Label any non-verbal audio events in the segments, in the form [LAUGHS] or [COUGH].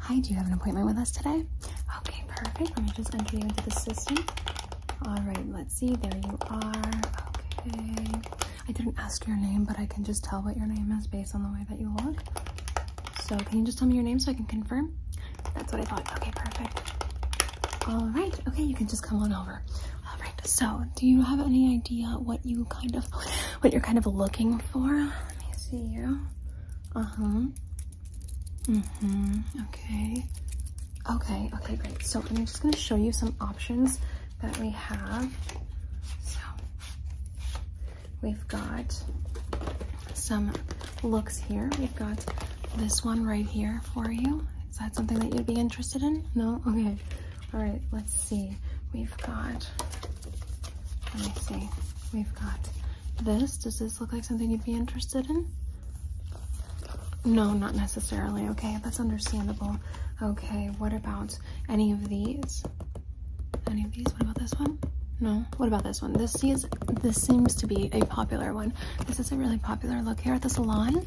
Hi, do you have an appointment with us today? Okay, perfect. Let me just enter you into the system. All right, let's see. There you are. Okay. I didn't ask your name, but I can just tell what your name is based on the way that you look. So, can you just tell me your name so I can confirm? That's what I thought. Okay, perfect. All right. Okay, you can just come on over. All right. So, do you have any idea what you kind of what you're kind of looking for? Let me see you. Uh-huh. Mm-hmm. Okay. Okay, okay, great. So I'm just gonna show you some options that we have. So we've got some looks here. We've got this one right here for you. Is that something that you'd be interested in? No? Okay. All right, let's see. We've got, let me see. We've got this. Does this look like something you'd be interested in? No, not necessarily. Okay, that's understandable. Okay, what about any of these? Any of these? What about this one? No. What about this one? This is this seems to be a popular one. This is a really popular look here at the salon.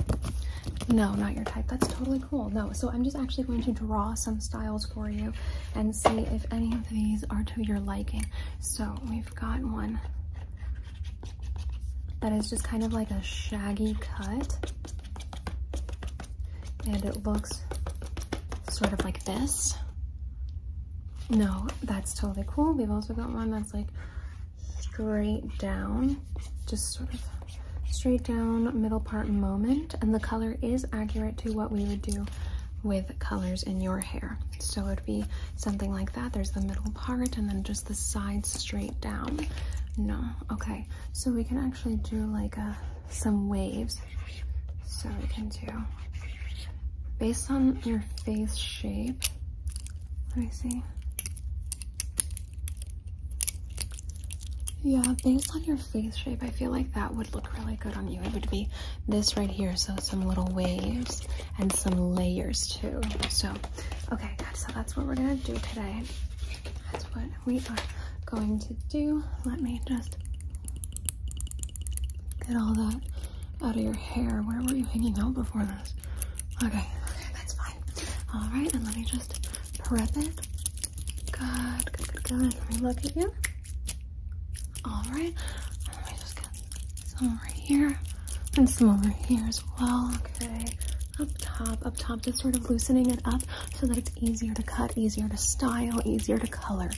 No, not your type. That's totally cool. No, so I'm just actually going to draw some styles for you and see if any of these are to your liking. So we've got one that is just kind of like a shaggy cut and it looks sort of like this. No, that's totally cool. We've also got one that's like straight down, just sort of straight down middle part moment. And the color is accurate to what we would do with colors in your hair. So it'd be something like that. There's the middle part and then just the sides straight down. No, okay. So we can actually do like a, uh, some waves. So we can do, based on your face shape, let me see. Yeah, based on your face shape, I feel like that would look really good on you. It would be this right here, so some little waves and some layers too. So, okay, good. So that's what we're gonna do today. That's what we are going to do. Let me just get all that out of your hair. Where were you hanging out before this? Okay, okay, that's fine. All right, and let me just prep it. Good, good, good, good. Let me look at you. Alright, let me just get some right here and some over here as well. Okay, up top, up top, just sort of loosening it up so that it's easier to cut, easier to style, easier to color.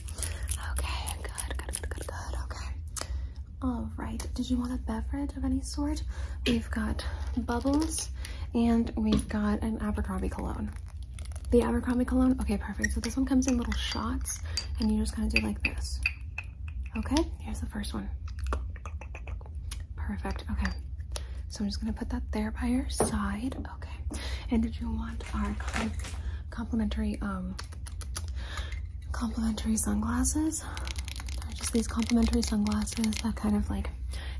Okay, good, good, good, good, good. Okay. Alright, did you want a beverage of any sort? We've got bubbles and we've got an Abercrombie cologne the Abercrombie cologne. Okay, perfect. So this one comes in little shots and you are just gonna do like this. Okay, here's the first one. Perfect, okay. So I'm just gonna put that there by your side, okay. And did you want our complimentary, um, complimentary sunglasses? Just these complimentary sunglasses that kind of like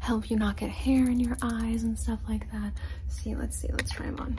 help you not get hair in your eyes and stuff like that. See, let's see, let's try them on.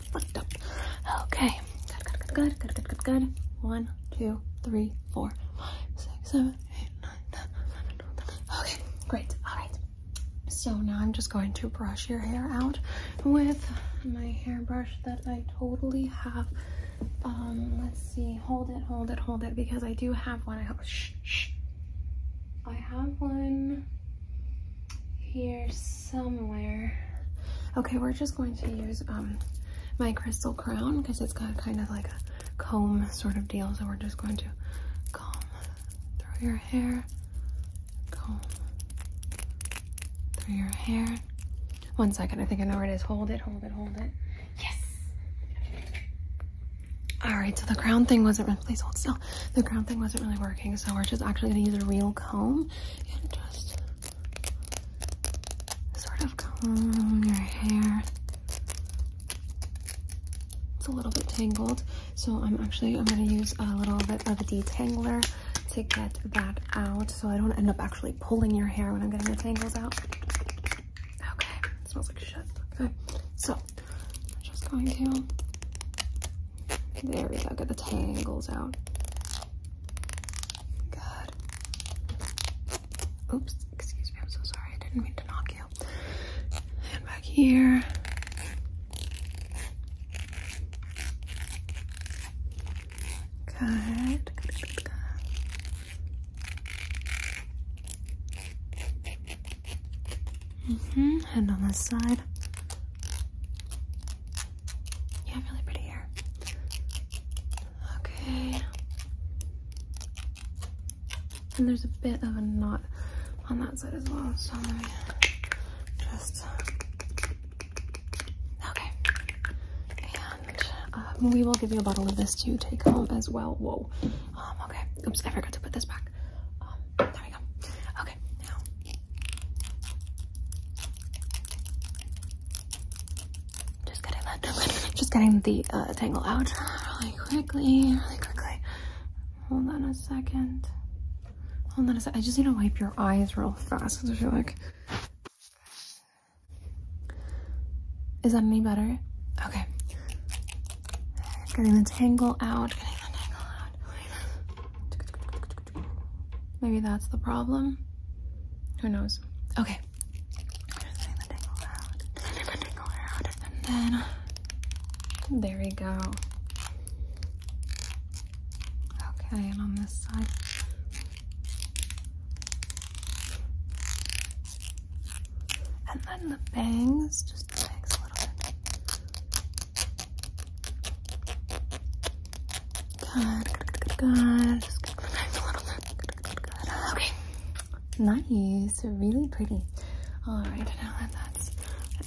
fucked up. Okay. Good, good, good, good, good, good, good. One, two, three, four, five, six, seven, eight, nine, ten, eleven, twelve, thirteen. Okay, great. All right. So now I'm just going to brush your hair out with my hairbrush that I totally have. Um, let's see. Hold it, hold it, hold it, because I do have one. I have one here somewhere. Okay, we're just going to use um, my crystal crown because it's got kind of like a comb sort of deal. So we're just going to comb through your hair, comb through your hair. One second, I think I know where it is. Hold it, hold it, hold it. Yes! All right, so the crown thing wasn't really, please hold still. The crown thing wasn't really working. So we're just actually gonna use a real comb and just sort of comb your hair. It's a little bit tangled, so I'm actually, I'm going to use a little bit of a detangler to get that out so I don't end up actually pulling your hair when I'm getting the tangles out. Okay, smells like shit. Okay, so I'm just going to there we go, get the tangles out. Good. Oops, excuse me, I'm so sorry. I didn't mean to knock you. And back here. Good. Good, good, -hmm. And on this side. You have really pretty hair. Okay. And there's a bit of a knot on that side as well, so just, okay. And uh, we will give you a bottle of this to take home as well. Whoa. Um, okay. Oops, I forgot to put this back. Um, there we go. Okay, now just getting [LAUGHS] that, just getting the uh, tangle out really quickly, really quickly. Hold on a second. Hold on a second. I just need to wipe your eyes real fast because I feel like. Is that any better? Okay. Getting the tangle out, getting the tangle out. Maybe that's the problem. Who knows? Okay. then there we go. Okay, and on this side. And then the bangs, just bangs a little bit. Good, good, good, Okay. Nice. Really pretty. All right. Now that's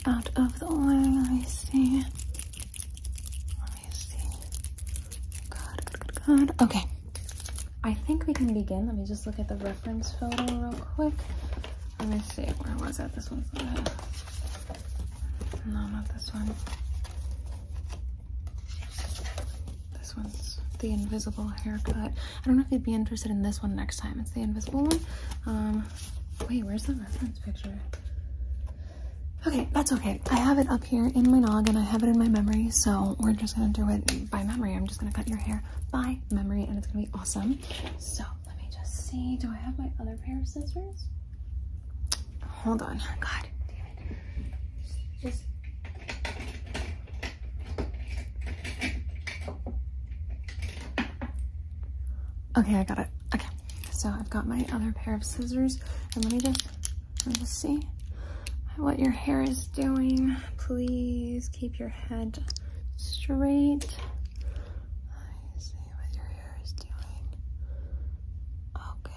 out of the way, let me see. Let me see. Good, good, Okay. I think we can begin. Let me just look at the reference photo real quick. Let me see. Where was that? This one. No, not this one. This one's the invisible haircut. I don't know if you'd be interested in this one next time. It's the invisible one. Um, wait, where's the reference picture? Okay, that's okay. I have it up here in my nog and I have it in my memory, so we're just gonna do it by memory. I'm just gonna cut your hair by memory and it's gonna be awesome. So let me just see, do I have my other pair of scissors? Hold on. God damn it. Okay, I got it. Okay. So I've got my other pair of scissors. And let me just, let me see what your hair is doing. Please keep your head straight here is doing okay,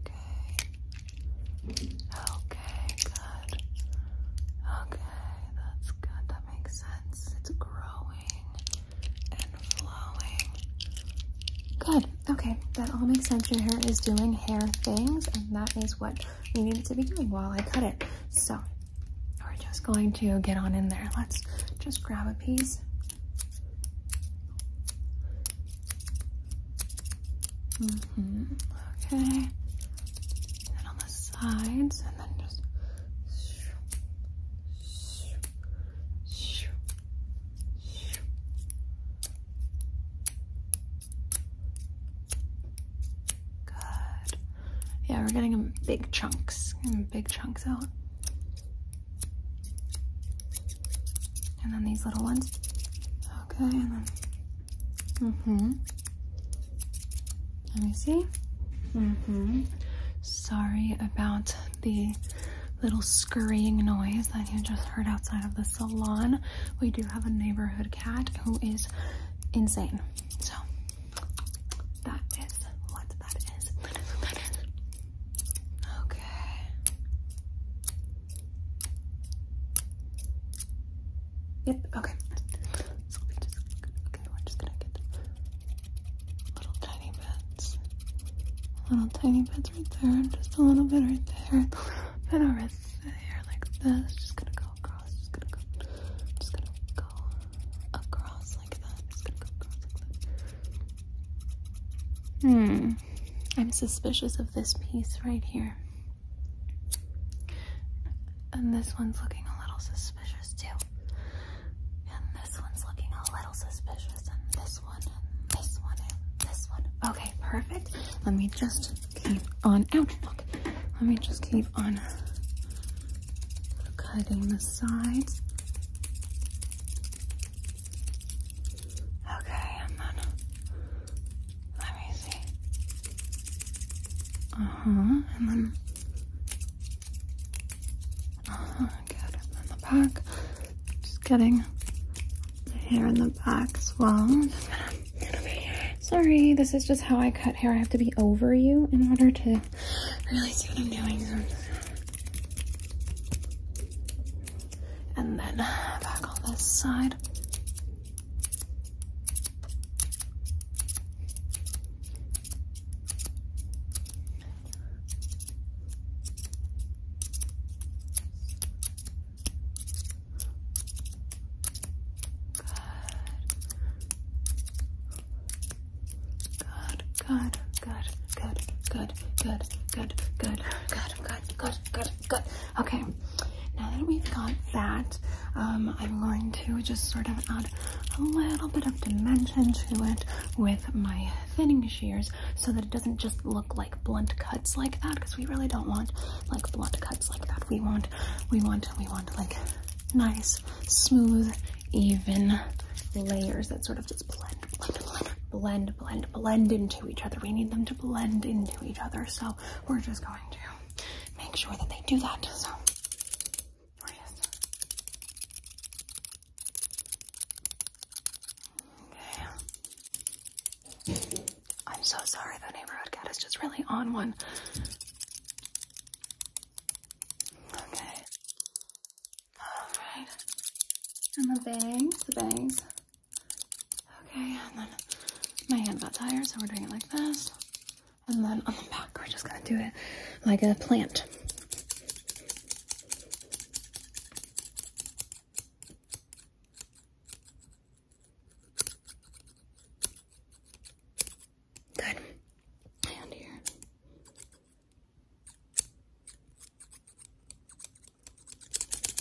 okay, okay, good, okay, that's good, that makes sense, it's growing and flowing, good, okay, that all makes sense, your hair is doing hair things, and that is what we needed to be doing while I cut it, so we're just going to get on in there, let's just grab a piece Mm-hmm. Okay. And on the sides, and then just. Good. Yeah, we're getting big chunks. Getting big chunks out. And then these little ones. Okay, Mm-hmm. Let me see. Mm-hmm. Sorry about the little scurrying noise that you just heard outside of the salon. We do have a neighborhood cat who is insane. So that is what that is. Okay. Yep, okay. okay, we're just gonna get little tiny bits. Little tiny bits right there, just a little bit right there. And our wrists here like this. Just gonna go across, just gonna go, just gonna go across like that. Just gonna go across like that. Hmm. I'm suspicious of this piece right here. And this one's looking a little suspicious too. And this one's looking a little suspicious. And this one, and this one, and this one. Okay, perfect. Let me just keep on, ouch, look. Let me just keep on cutting the sides. Okay, and then let me see. Uh huh, and then uh huh, good. And the back, just getting the hair in the back as well. Sorry, this is just how I cut hair. I have to be over you in order to really see what I'm and then back on this side. Good. Good, good good, good, good, good, good, good, good, good, good, good, good. Okay, now that we've got that, um, I'm going to just sort of add a little bit of dimension to it with my thinning shears so that it doesn't just look like blunt cuts like that because we really don't want like blunt cuts like that. We want, we want, we want like nice, smooth, even layers that sort of just blend, blend, blend, blend, blend, blend into each other. We need them to blend into each other. So we're just going to make sure that they do that. So we're just okay. I'm so sorry. The neighborhood cat is just really on one. Okay. And the bangs, the bangs. Okay, and then my hand got tired, so we're doing it like this. And then on the back, we're just gonna do it like a plant. Good. And here okay.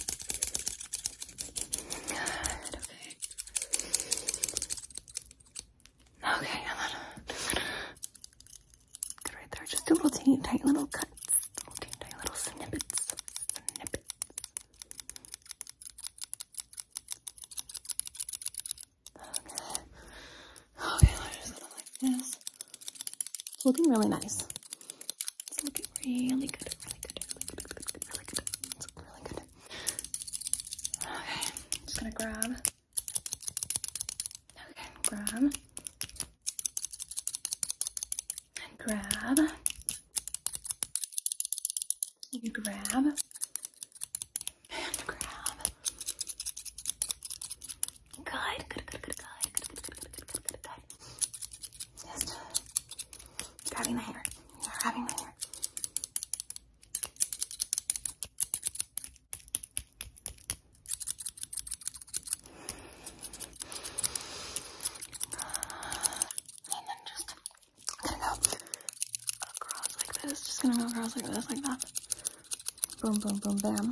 Okay, come on. right there. Just a little teeny tight little cuts. Little teeny little snippets. Okay. Okay, like this. It's looking really nice. It's looking really good, really good, really good, really good, really good. It's really good. Okay, just gonna grab. Okay, grab. And grab. And grab. And grab. Good, good, good, good, good, Just grabbing my hair, grabbing my hair. And then just gonna go across like this, just gonna go across like this, like that. Boom, boom, boom, bam.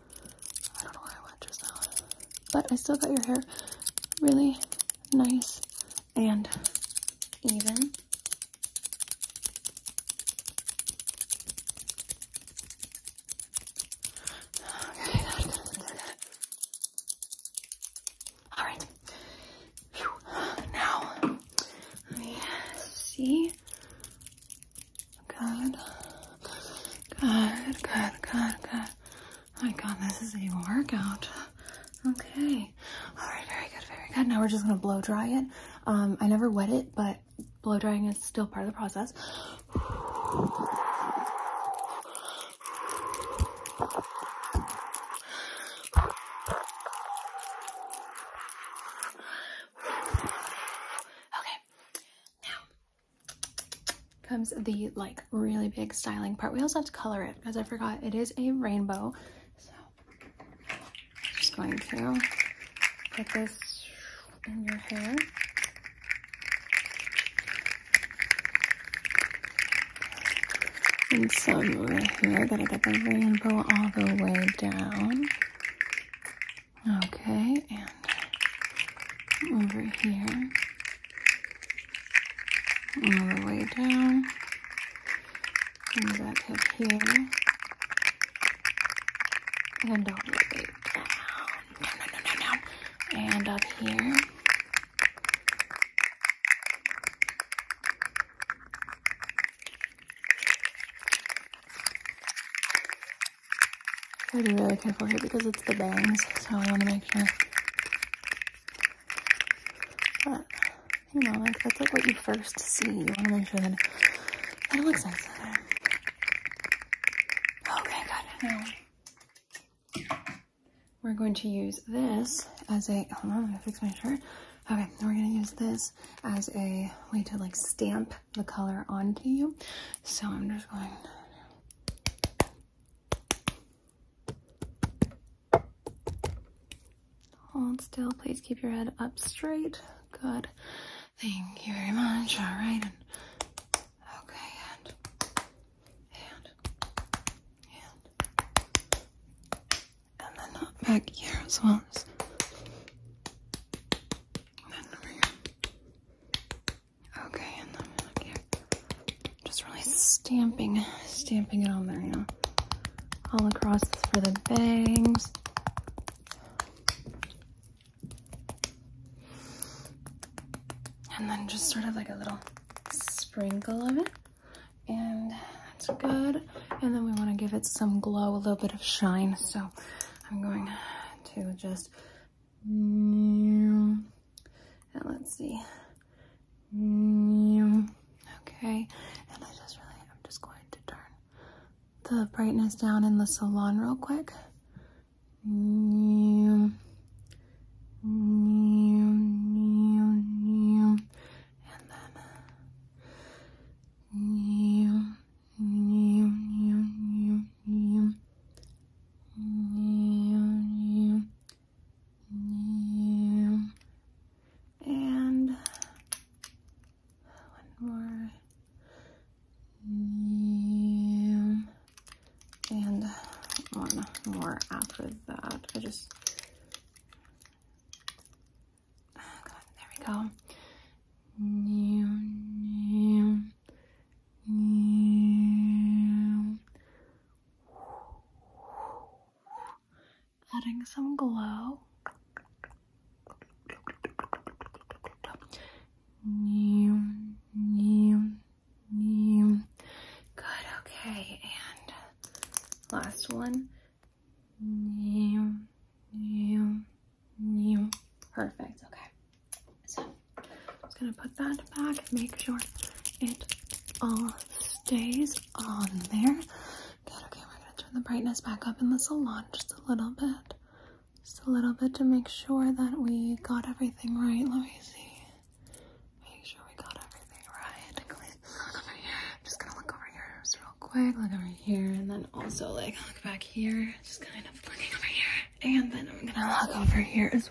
I don't know why I went just now. But I still got your hair really nice and even. Okay, good, good, good, good. All right. Now, let me see Good. Good, good, good, good. Oh my god, this is a workout. Okay. All right, very good, very good. Now we're just gonna blow dry it. Um, I never wet it, but blow drying is still part of the process. Okay. Now, comes the like really big styling part. We also have to color it because I forgot it is a rainbow. So just going to put this in your hair. And some over here, gotta get the rainbow all the way down. Okay, and over here, all the way down, and back up here, and all the way down, down, down, down, down, and up here. Gotta be really careful here because it's the bangs, so I wanna make sure. But, you know, like that's like what you first see. You wanna make sure that, that it looks nice. Okay, good. Now, we're going to use this as a, hold on, I'm gonna fix my shirt. Okay, we're gonna use this as a way to like stamp the color onto you. So I'm just going Hold still, please keep your head up straight. Good. Thank you very much. All right. And okay, and and and and then back here as well. And Okay, Just really stamping, stamping it on there, you know. All across for the bangs. And then just sort of like a little sprinkle of it. And that's good. And then we want to give it some glow, a little bit of shine. So I'm going to just and mm. uh, let's see. Mm. Okay, and I just really, I'm just going to turn the brightness down in the salon real quick. Mm. And then and one more and one more after that I just there we go Adding some glow. Good, okay, and last one. Perfect, okay. So I'm just gonna put that back, make sure it all stays on there. okay, we're gonna turn the brightness back up in the salon just a little bit. Just a little bit to make sure that we got everything right. Let me see. Make sure we got everything right. Look over here. just gonna look over here real quick. Look over here and then also like back here. Just kind of looking over here. And then I'm gonna look over here as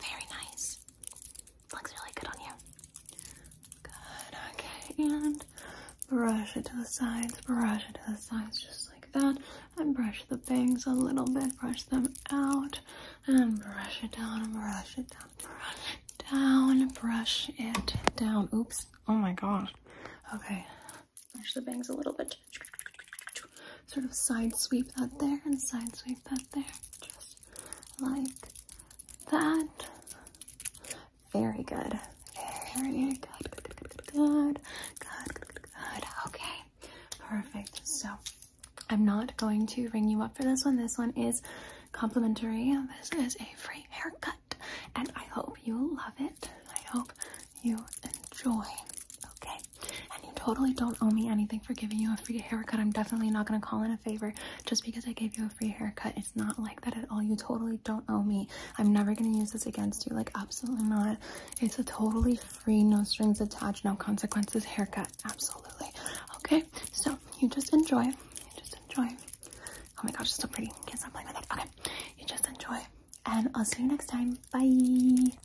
very nice. Looks really good on you. Good, okay, and brush it to the sides, brush it to the sides just like that, and brush the bangs a little bit, brush them out, and brush it down, brush it down, brush it down, brush it down. Oops, oh my gosh. Okay, brush the bangs a little bit sort of side sweep that there and side sweep that there. Just like that. Very good. Very good. Good, good, good, good, good, good, good, good. Okay, perfect. So I'm not going to ring you up for this one. This one is complimentary. This is a free haircut, and I hope you love it. I hope you enjoy. Okay, and you totally don't owe me anything for giving you a free haircut. I'm definitely not gonna call in a favor just because I gave you a free haircut. It's not like that at all. You totally don't owe me. I'm never gonna use this against you. Like, absolutely not. It's a totally free, no strings attached, no consequences haircut. Absolutely. Okay, so you just enjoy. You just enjoy. Oh my gosh, it's so pretty. Can't stop playing with it. Okay, you just enjoy. And I'll see you next time. Bye.